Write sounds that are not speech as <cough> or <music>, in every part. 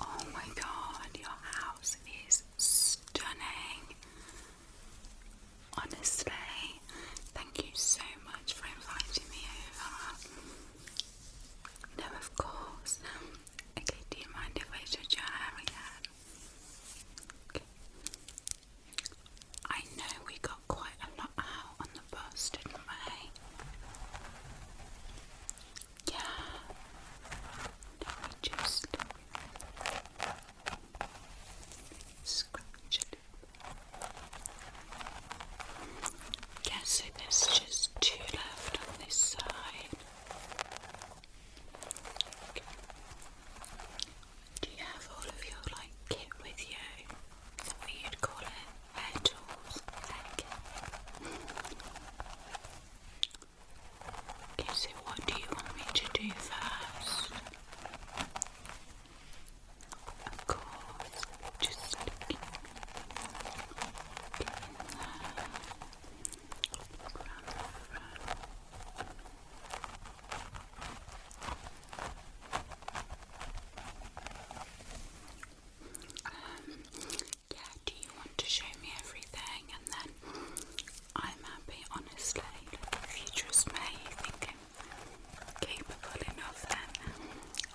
Oh my god, your house is stunning. Honestly, thank you so much for inviting me over. No, of course. Okay, do you mind if I touch your hair again? I know we got quite a lot out on the bus, didn't we? Yeah. Let me just scratch it. Yeah, so there's just two left on this side. Do you have all of your like kit with you? Is that what you'd call it? her toes like okay so what do you want me to do first? Of course, just looking in there look around yeah, do you want to show me everything? And then I'm happy, honestly. If you trust me, you think I'm capable enough, then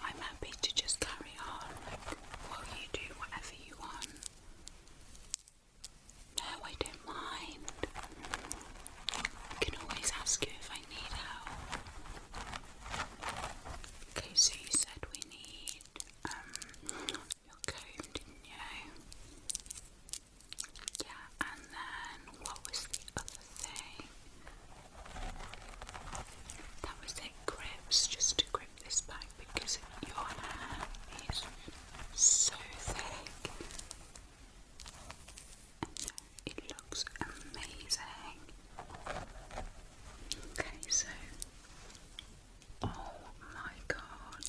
I'm happy to just carry on. Well, you do whatever you want. No, I don't mind. I can always ask you if I need help. Okay, so you said we need um, your comb, did Yeah, and then what was the other thing? That was it, grips, just to grip this back because your hair is so thick. It looks amazing. Okay, so Oh my god.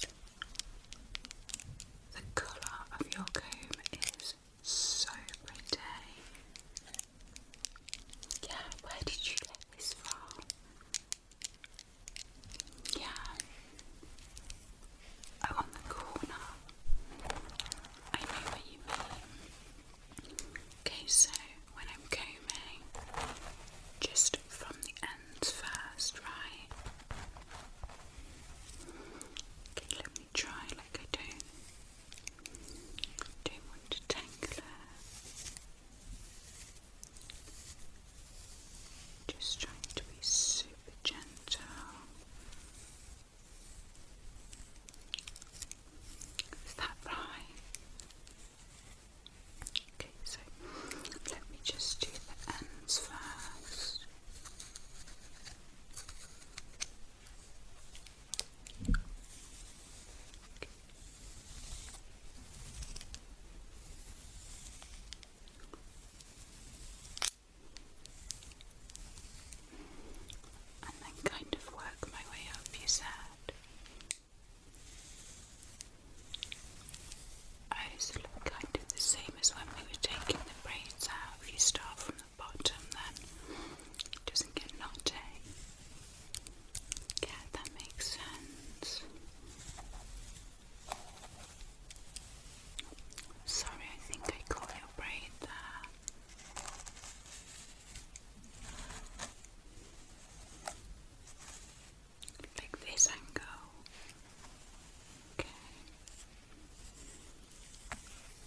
The colour of your comb is so pretty. Yeah, where did you get this from? Yeah. Oh, on the corner. I know what you mean. Okay, so when I'm combing, just from the ends first, right? Okay, let me try like I do don't want to tangle Just trying to be super gentle. Is that right? Okay, so let me just do the ends first. And then kind of work my way up, you said. I also look, I did the same as when we were taking the brains out. If you start from the bottom, then it doesn't get knotty. Yeah, that makes sense. Sorry, I think I caught your brain there like this angle. Okay.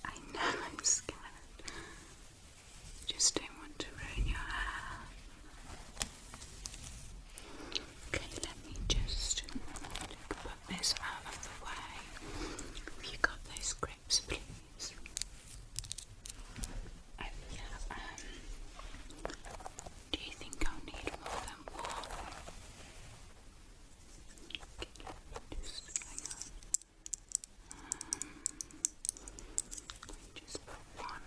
I know <laughs> I'm scared. Just don't want to ruin your hair. Okay, let me just put this out of the way. you got those grips, please? I um, do you think I'll need more than one? just hang on. Um, just one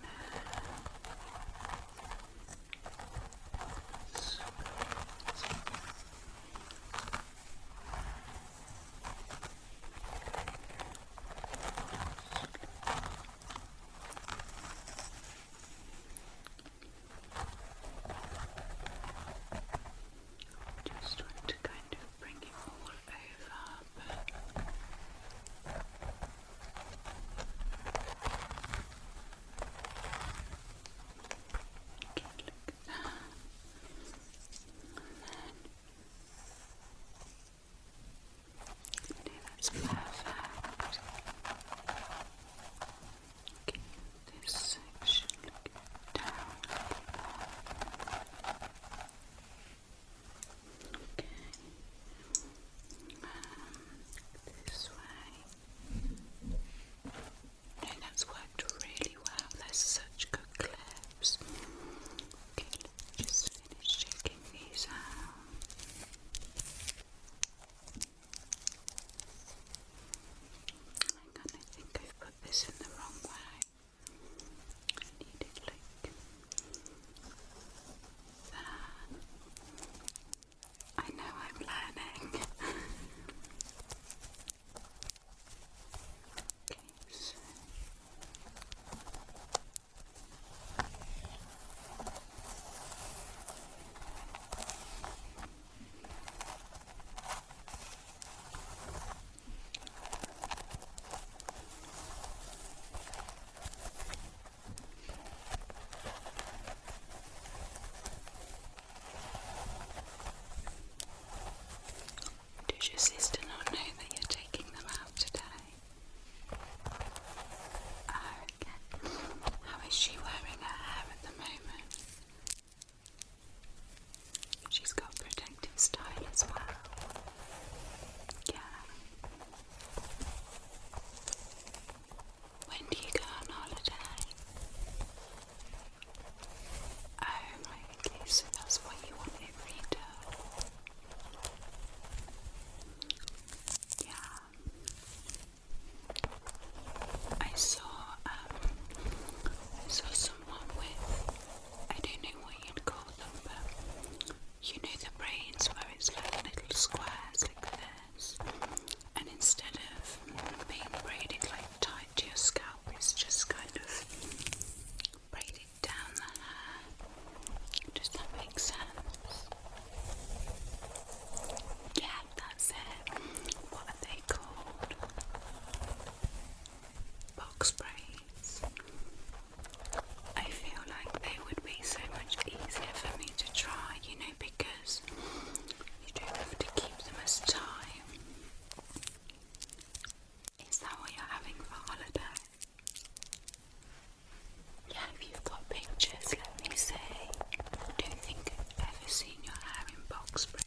just want to kind of bring it all over, but Okay, that's perfect. Okay, this section down. Um, okay. this way. No, that's worked really well. There's such good clips. Okay, just finish these out. I think I've put this in the wrong way. I need it like that. I know I'm learning. <laughs> okay, so does your sister not know that you're taking them out today? okay. How is she wearing her hair at the moment? She's got protective style as well. Yeah. When do you go on holiday? Oh, right, okay, so that's what you want in retail. Yeah. I saw um saw someone with I don't know what you'd call them but you know the braids where it's like little squares like this and instead of being braided like tight to your scalp it's just kind of braided down the Does that make sense? Yeah, that's it. What are they called? Box braids. I feel like they would be so much easier for me to try, you know, because you do have to keep them as tight. Is that what you're having for holiday? Yeah, you got pictures, let me see. I don't think I've ever seen your hair in box braids.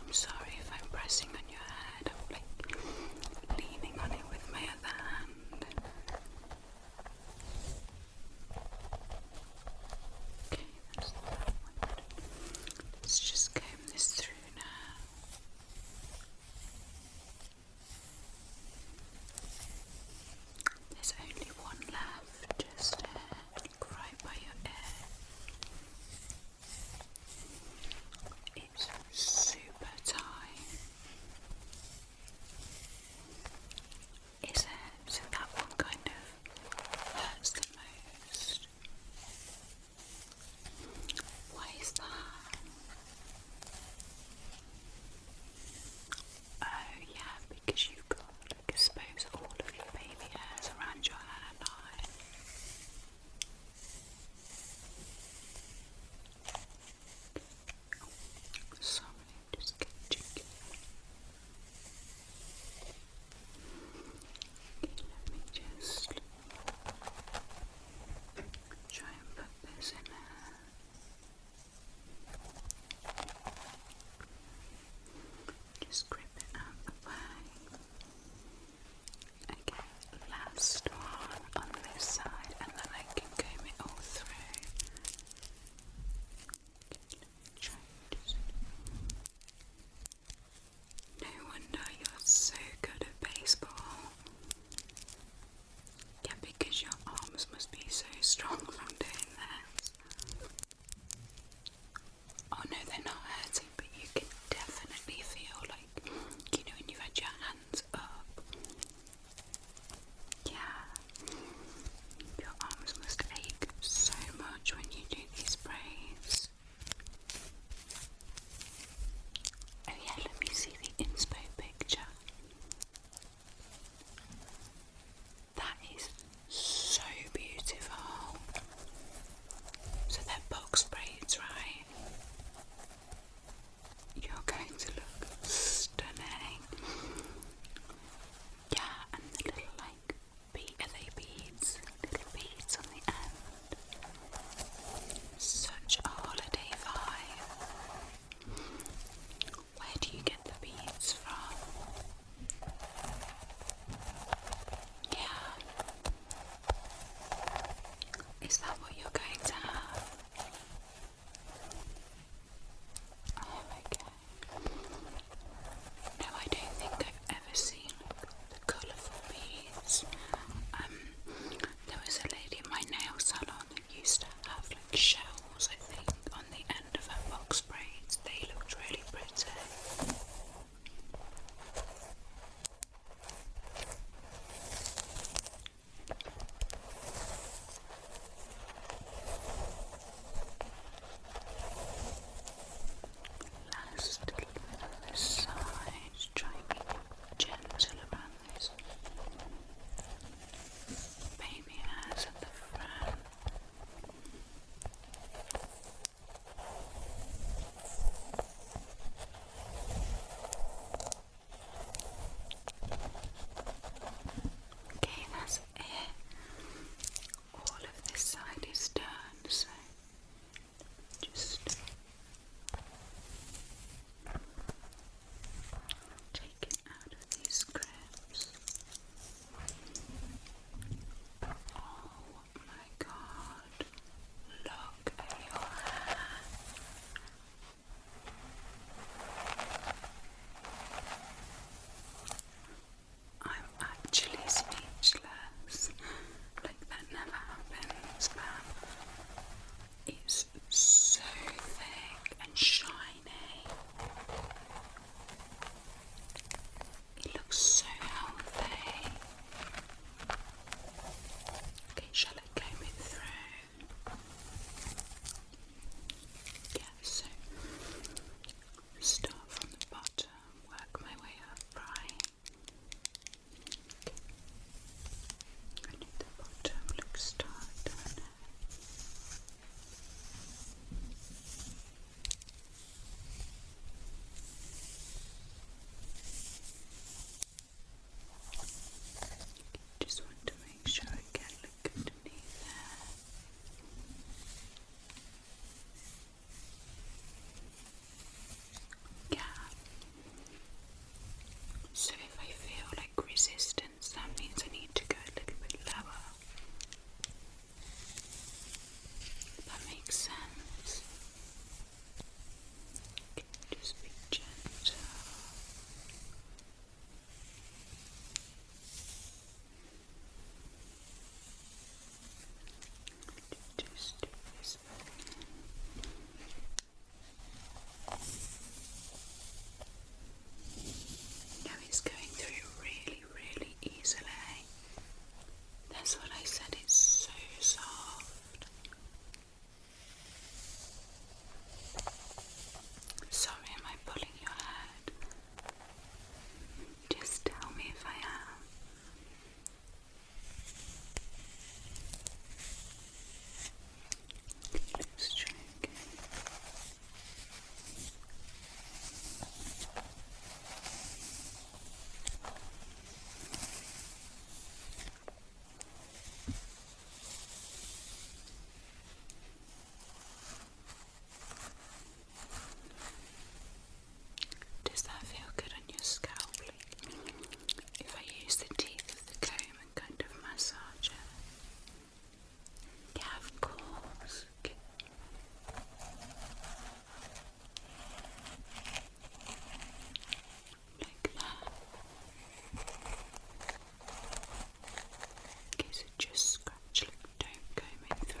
I'm sorry if I'm pressing on your head. I'm like leaning on it with my other hand. Okay, Let's just comb this through now. There's only one left, just uh, right by your ear. It's super tight. Is it? So that one kind of hurts the most. Why is that? Oh yeah, because you've got like expose all of your baby hairs around your hairline. Oh, sorry, just catching you. Okay, let me just try and put this in there. Just grip it out the way. Okay, last one on this side, and then I can comb it all through. No wonder you're so good at baseball. Yeah, because your arms must be so strong from doing that. Oh no, they're not hurting, but you can definitely feel like, you know, when you had your hands up. Yeah. Your arms must ache so much when you do these sprays. Oh yeah, let me see the inspo picture. That is so beautiful. So they're box braids, right? You're going to look stunning. Yeah, and the little like be they beads? Little beads on the end. Such a holiday vibe. Where do you get the beads from? Yeah. Is that what you're going to have? Oh, okay. No, I don't think I've ever seen the colourful beads. Um, there was a lady in my nail salon Brown used to have like shells, I think, on the end of her box braids. They looked really pretty. Last little side, trying to be gentle baby hairs at the front. Okay, that's it. All of this side is done, so just taken out of these crabs. Oh my god, look at your hair. I'm actually speechless. Like that never happens, but it's so thick and shiny. It looks so healthy. Okay, shall I comb it through? Yeah, so start from the bottom, work my way up, right? Okay. I the bottom looks tight, just want to make sure I can look underneath there. Yeah, so if I feel like resistance, that means I need to go a little bit lower. That makes sense. just be gentle. Just do this. Now it's going through really, really easily. That's what I said, it's so soft. Sorry, am I pulling your head? Just tell me if I am. Let's try again. Does that feel good on your scalp? If I use the teeth of the comb and kind of massage it of course. Like that. Okay, so just scratch, look, don't comb it through.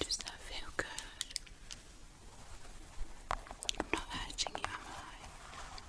Does that feel good? I'm not hurting you, am I?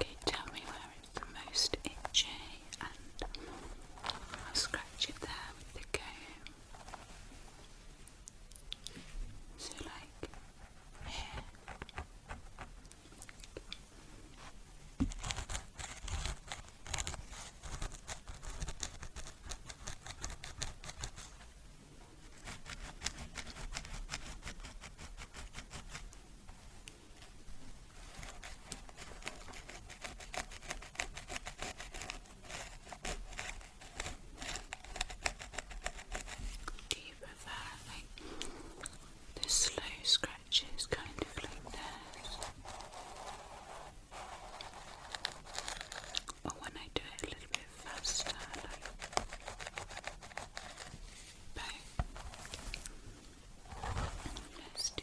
Okay, tell me where it's the most itchy and I'll scratch it there with the comb. So like do you prefer like the slow scratches kind of like this? But when I do it a little bit faster, like back. Let's do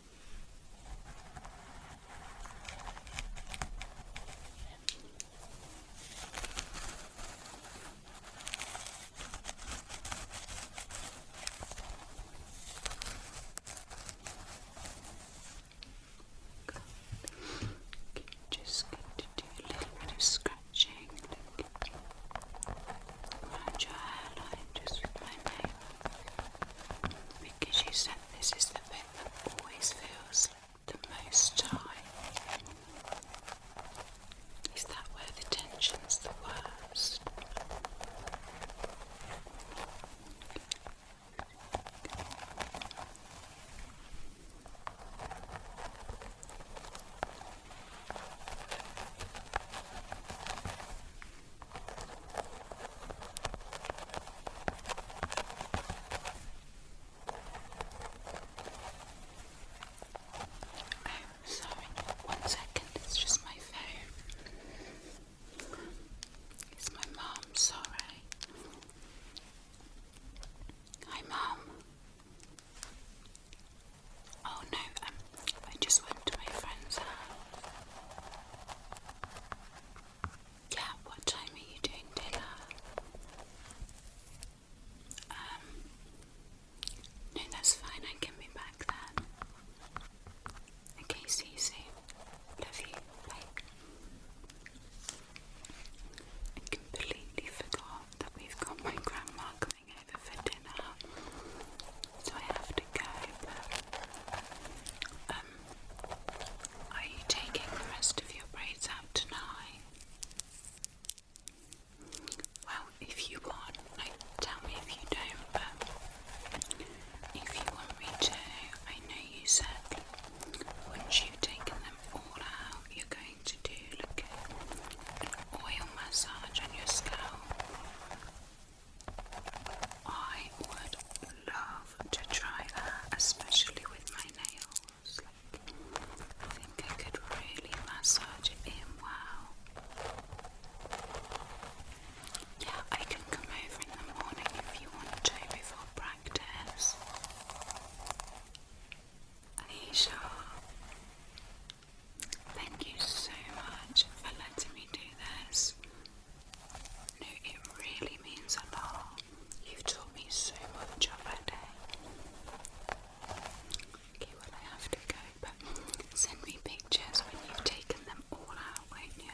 Good. Okay, just going to do a little bit of scratching around your hairline just with my nail because you said this is the bit that always feels the most tight. Is that where the tension's the worst? i sorry, one second, it's just my phone. It's my mom, sorry. Hi, mom. Oh no, um, I just went to my friend's house yeah, what time are you doing dinner? Um, no, that's fine, I can be back then. Okay, see you soon. Love you. completely forgot that we've got my grandma coming over for dinner, so I have to go. Um, are you taking the rest of your braids out tonight? Well, if you want, tell me if you don't, but if you want me to, I know you said once you've them all out, you're going to do, look oil massage on your scalp. I would love to try that, especially with my nails. Like, think I could really massage in wow. Yeah, I can come over in the morning if you want to before practice. Aisha, thank you so much for letting me do this. No, it really means a lot. You've taught me so much on Okay, I have to go, but send me pictures when you've taken them all out, won't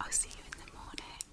I'll see you in the morning.